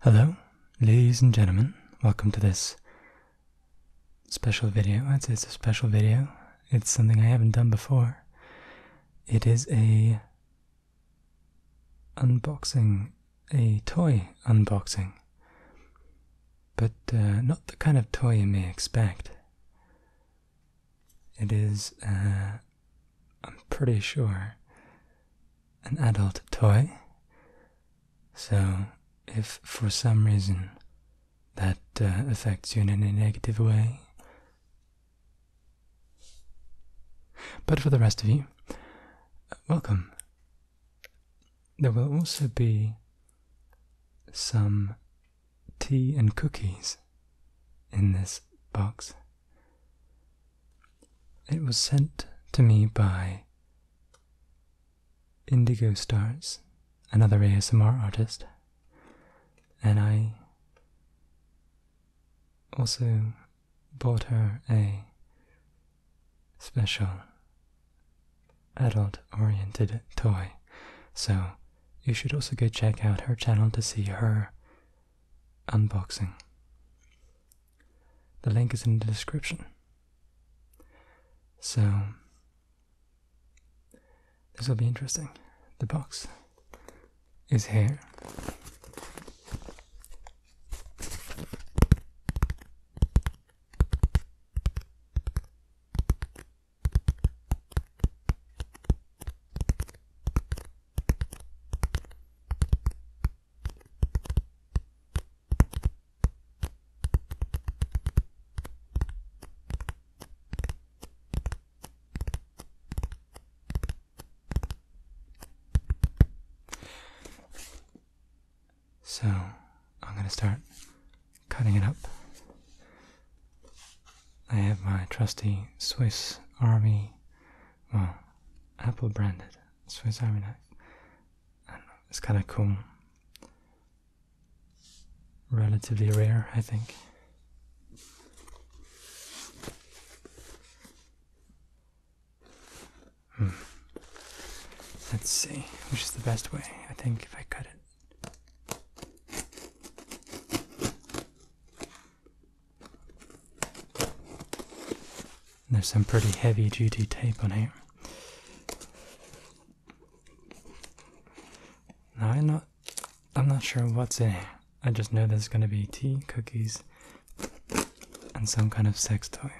Hello, ladies and gentlemen. Welcome to this special video. it's a special video. It's something I haven't done before. It is a unboxing, a toy unboxing. But uh, not the kind of toy you may expect. It is uh, I'm pretty sure, an adult toy. So, if for some reason that uh, affects you in a negative way. But for the rest of you, welcome. There will also be some tea and cookies in this box. It was sent to me by Indigo Stars, another ASMR artist, and I also bought her a special adult oriented toy. So you should also go check out her channel to see her unboxing. The link is in the description. So, this will be interesting. The box is here. So, I'm going to start cutting it up. I have my trusty Swiss Army well, Apple branded Swiss Army knife. it's kind of cool. Relatively rare, I think. Hmm. Let's see, which is the best way? I think if I cut it. There's some pretty heavy duty tape on here. I'm not I'm not sure what's in here. I just know there's gonna be tea, cookies, and some kind of sex toy.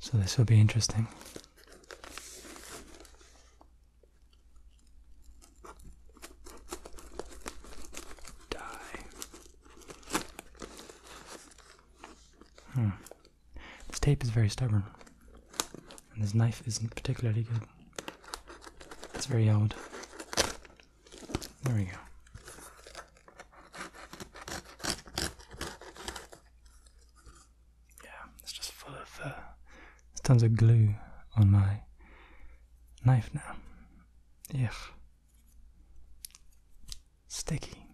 So this will be interesting. Die. Hmm. This tape is very stubborn. And this knife isn't particularly good. It's very old. There we go yeah, it's just full of uh, there's tons of glue on my knife now. Yeah, sticky.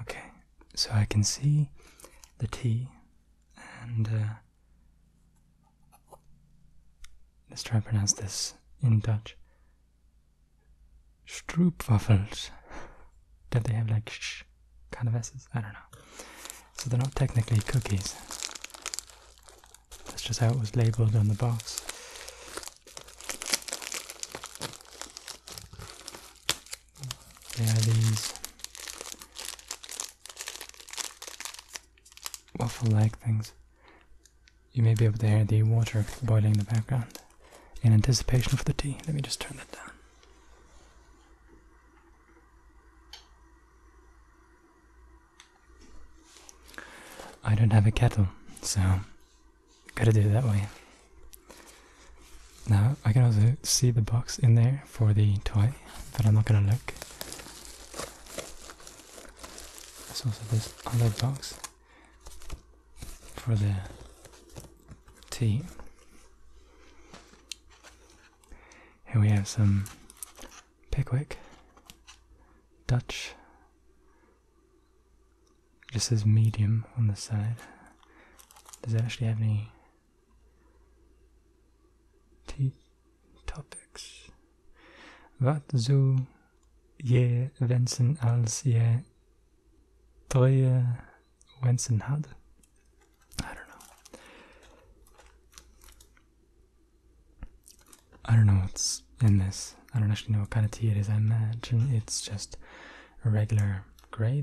Okay, so I can see the T and uh, Let's try to pronounce this in Dutch. Stroopwafels. That they have like kind of S's? I don't know. So they're not technically cookies. That's just how it was labeled on the box. They are these waffle like things. You may be able to hear the water boiling in the background in anticipation of the tea. Let me just turn that down. I don't have a kettle, so gotta do it that way. Now, I can also see the box in there for the toy, but I'm not gonna look. There's also this other box for the tea. Here we have some Pickwick, Dutch. Just says medium on the side. Does it actually have any T topics. Vad så je Wensen als je I don't know. I don't know what's in this. I don't actually know what kind of tea it is. I imagine it's just a regular grey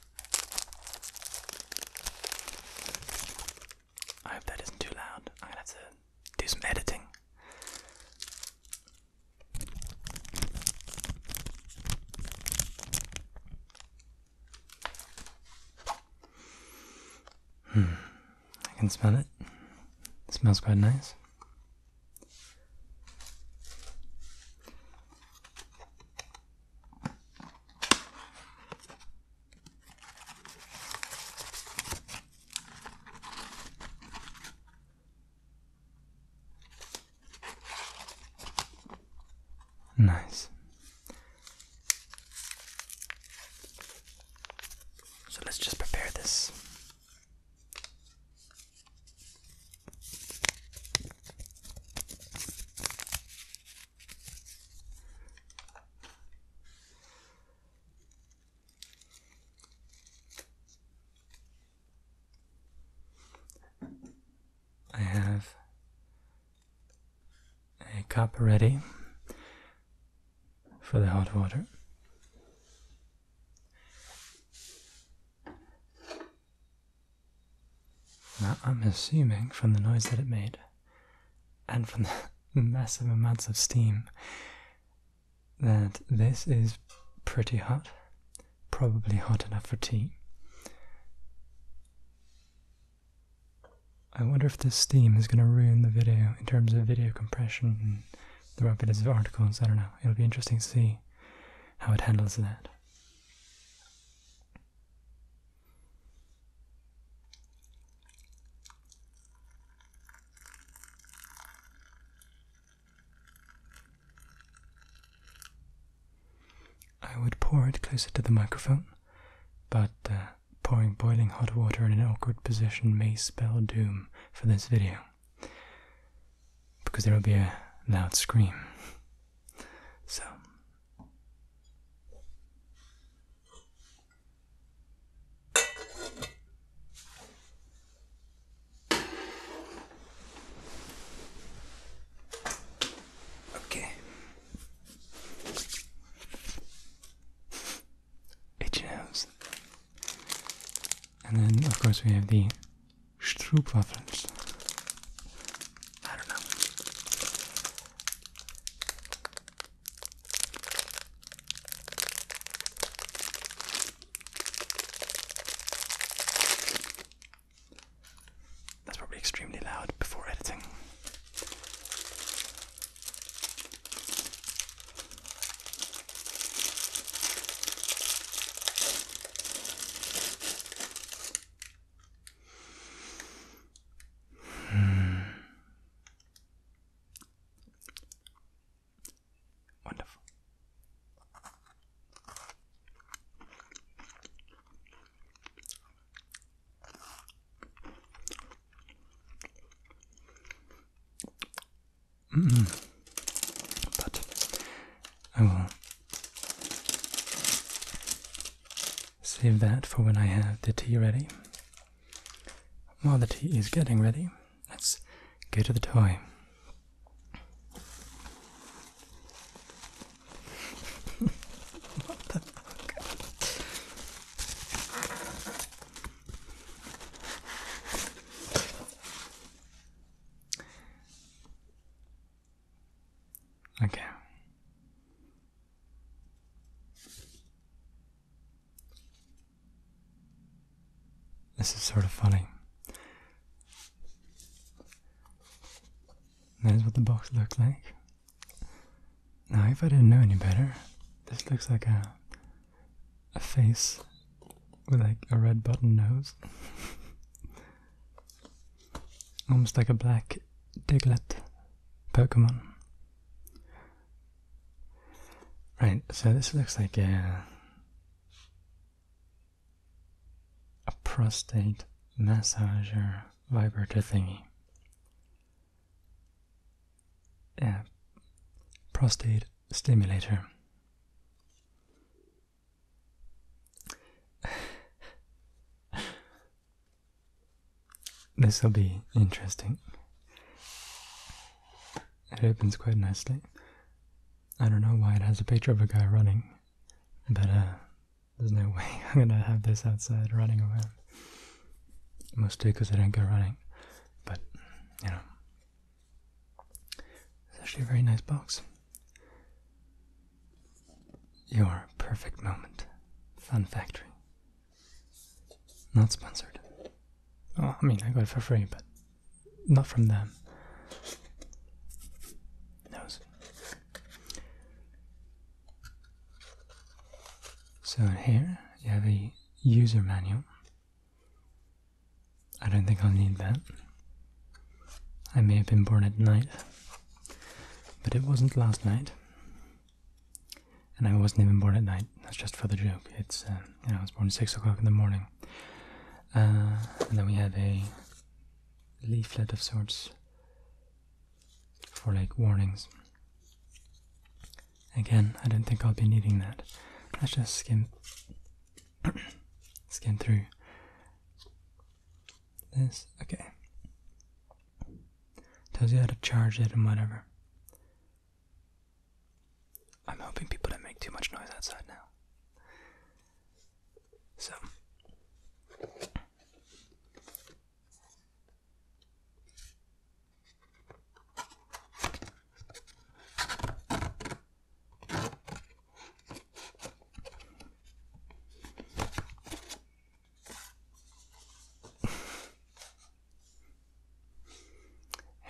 I hope that isn't too loud. I'm gonna have to do some editing. Hmm. I can smell it. It smells quite nice. Nice. So let's just prepare this. I have a cup ready for the hot water. I'm assuming from the noise that it made and from the massive amounts of steam that this is pretty hot, probably hot enough for tea. I wonder if this steam is going to ruin the video in terms of video compression and the rapidity of articles. I don't know. It'll be interesting to see how it handles that. I would pour it closer to the microphone, but uh, pouring boiling hot water in an awkward position may spell doom for this video because there will be a loud scream. So. Okay. Itchy And then, of course, we have the Stroopwafels. That's probably extremely loud before editing. Wonderful. Mm -hmm. But I will save that for when I have the tea ready. While the tea is getting ready, let's go to the toy. what the fuck? Okay. This is sort of funny. That is what the box looks like. Now, if I didn't know any better, this looks like a a face with like a red button nose. Almost like a black Diglett Pokemon. Right, so this looks like a, a prostate massager vibrator thingy. Yeah, prostate stimulator. this will be interesting. It opens quite nicely. I don't know why it has a picture of a guy running, but uh, there's no way I'm gonna have this outside running around. Mostly because I don't go running, but you know, it's actually a very nice box. Your perfect moment. Fun Factory. Not sponsored. Oh, I mean, I got it for free, but not from them. Knows. So here you have a user manual I don't think I'll need that. I may have been born at night, but it wasn't last night. And I wasn't even born at night. That's just for the joke. It's uh, you know I was born six o'clock in the morning. Uh, and then we had a leaflet of sorts for like warnings. Again, I don't think I'll be needing that. Let's just skim Let's get through this. Okay. Tells you how to charge it and whatever. I'm hoping people don't make too much noise outside now. So.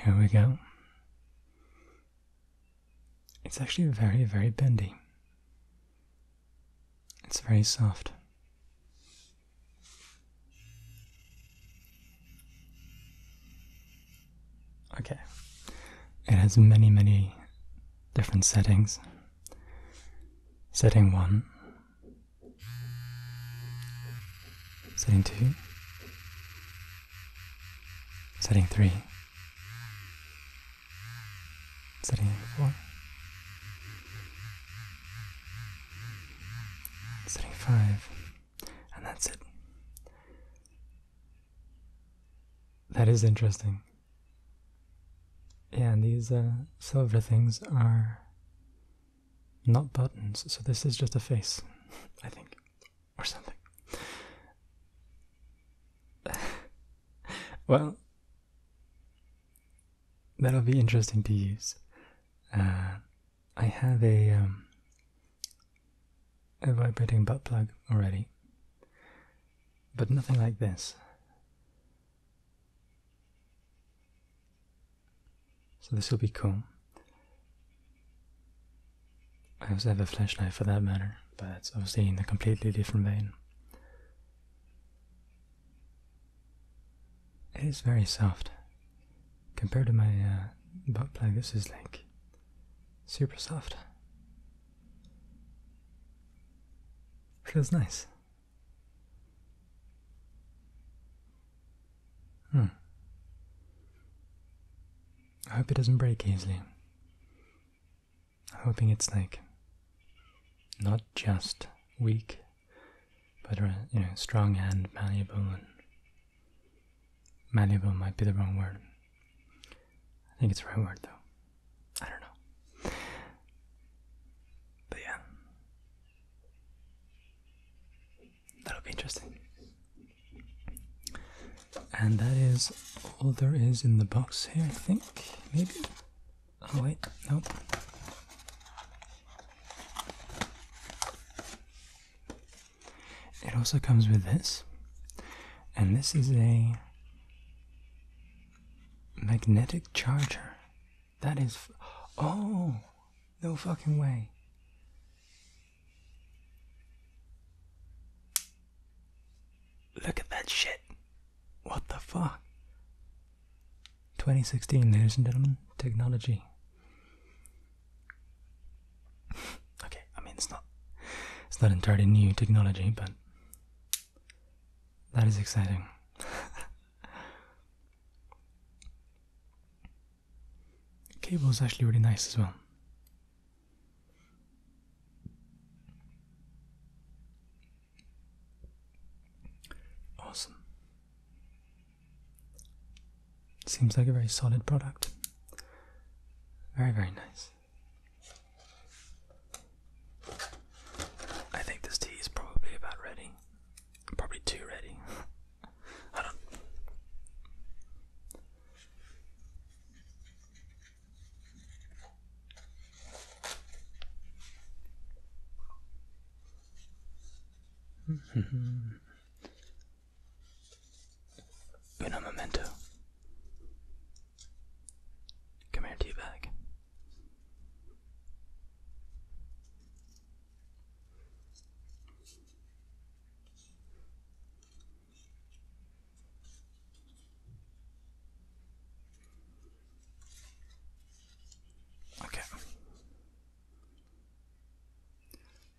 Here we go. It's actually very, very bendy. It's very soft. Okay. It has many, many different settings. Setting 1, setting 2, setting 3, setting 4, setting 5, and that's it. That is interesting. Yeah, and these uh, silver things are not buttons, so this is just a face, I think, or something. well, that'll be interesting to use. Uh, I have a um, a vibrating butt plug already, but nothing like this. So this will be cool. I also have a flashlight for that matter, but it's obviously in a completely different vein. It is very soft compared to my uh, butt plug, this is like super soft. Feels nice. Hmm. I hope it doesn't break easily. I'm hoping it's like not just weak, but uh, you know, strong and malleable and malleable might be the wrong word. I think it's the right word though. I don't know. But yeah. That'll be interesting. And that is all there is in the box here, I think. Maybe? Oh, wait, nope. It also comes with this, and this is a magnetic charger. That is. oh! No fucking way. Look at that shit. What the fuck? 2016, ladies and gentlemen, technology okay, I mean it's not it's not entirely new technology, but that is exciting. Cable is actually really nice as well. Awesome. Seems like a very solid product. Very, very nice. I think this tea is probably about ready. Probably too ready. I don't. Uno memento. Come here, teabag. Okay.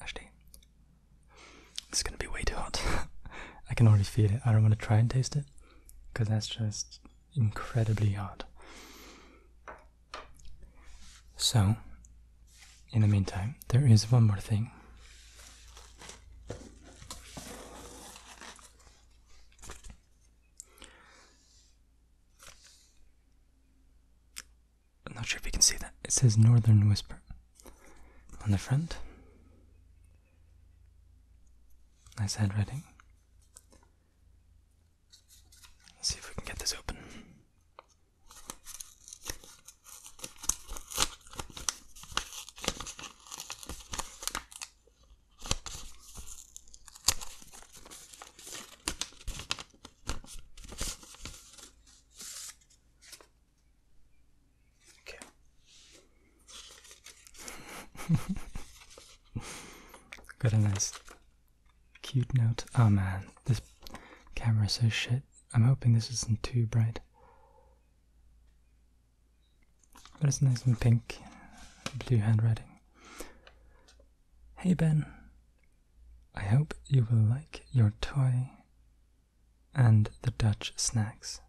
Actually, it's gonna be way too hot. I can already feel it. I don't want to try and taste it because that's just incredibly hot. So, in the meantime, there is one more thing. I'm not sure if you can see that. It says Northern Whisper on the front. Nice handwriting. see if we can get this open. Okay. Got a nice cute note. Oh man, this camera's so shit. I'm hoping this isn't too bright. But it's nice and pink. Blue handwriting. Hey Ben, I hope you will like your toy and the Dutch snacks.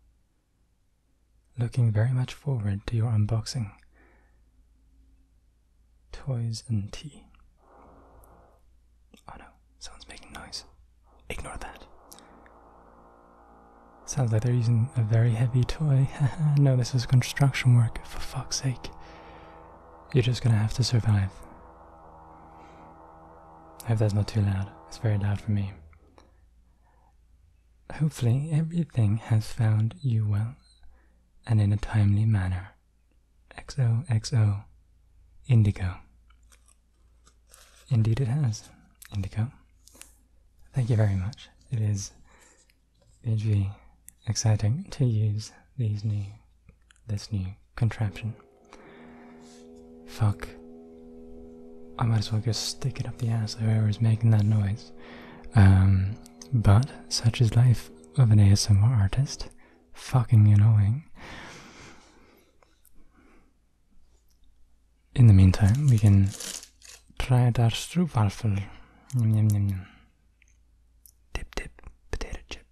Looking very much forward to your unboxing. Toys and tea. Oh no, someone's making noise. Ignore that. Sounds like they're using a very heavy toy. no, this is construction work, for fuck's sake. You're just gonna have to survive. I hope that's not too loud. It's very loud for me. Hopefully, everything has found you well and in a timely manner. XOXO Indigo. Indeed, it has. Indigo. Thank you very much. It is hugely exciting to use these new this new contraption. Fuck. I might as well just stick it up the ass of whoever's making that noise. Um, but such is life of an ASMR artist. Fucking annoying. In the meantime, we can try out our stroopwafel. Dip dip potato chip.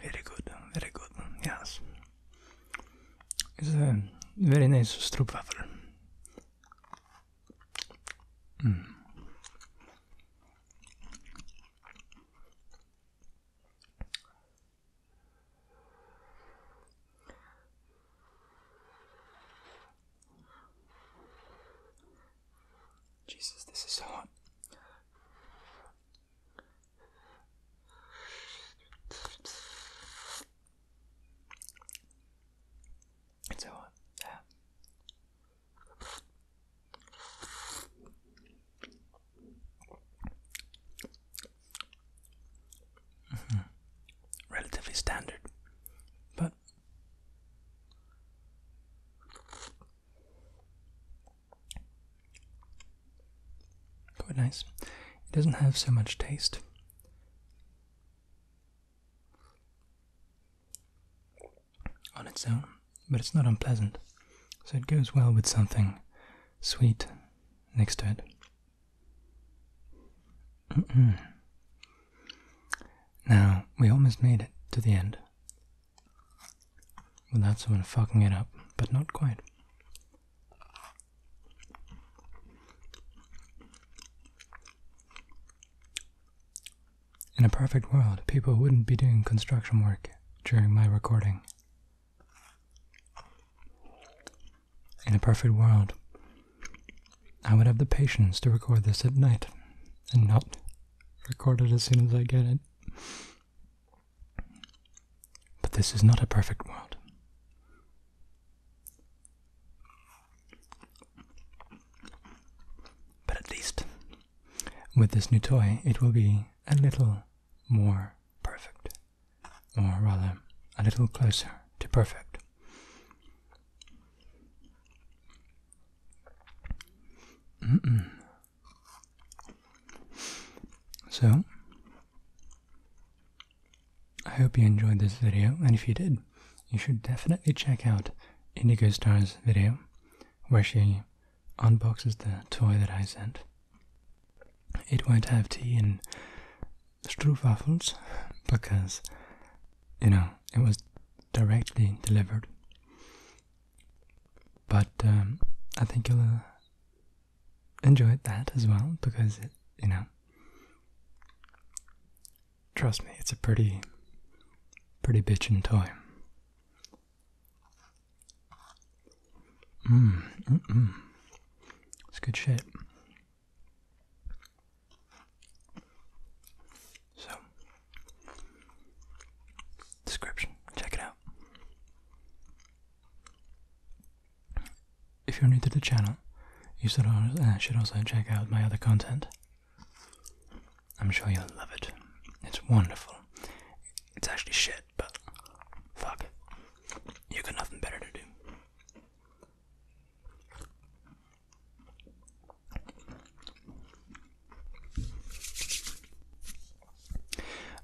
Very good, very good, yes. It's a very nice stroopwafel. Mm. Jesus, this is so hot. It's so hot. Yeah. Mm -hmm. Relatively standard, but quite nice. It doesn't have so much taste. On its own, but it's not unpleasant, so it goes well with something sweet next to it. Mm-hmm. Now, we almost made it to the end. Without someone fucking it up, but not quite. In a perfect world, people wouldn't be doing construction work during my recording. In a perfect world, I would have the patience to record this at night and not record it as soon as I get it. But this is not a perfect world. But at least with this new toy, it will be a little more perfect or rather, a little closer to perfect. So, I hope you enjoyed this video, and if you did, you should definitely check out Indigo Star's video where she unboxes the toy that I sent. It won't have tea in. Stroopwafels because, you know, it was directly delivered. But um, I think you'll uh, enjoy that as well because, you know, trust me, it's a pretty, pretty bitchin' toy. Mmm. Mm It's good shit. So, description. Check it out. If you're new to the channel, you should also uh, check out my other content. I'm sure you'll love it. It's wonderful. It's actually shit, but fuck You got nothing better to do.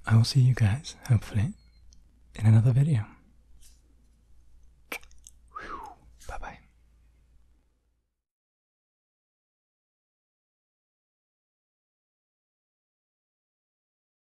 I will see you guys, hopefully, in another video. Bye bye.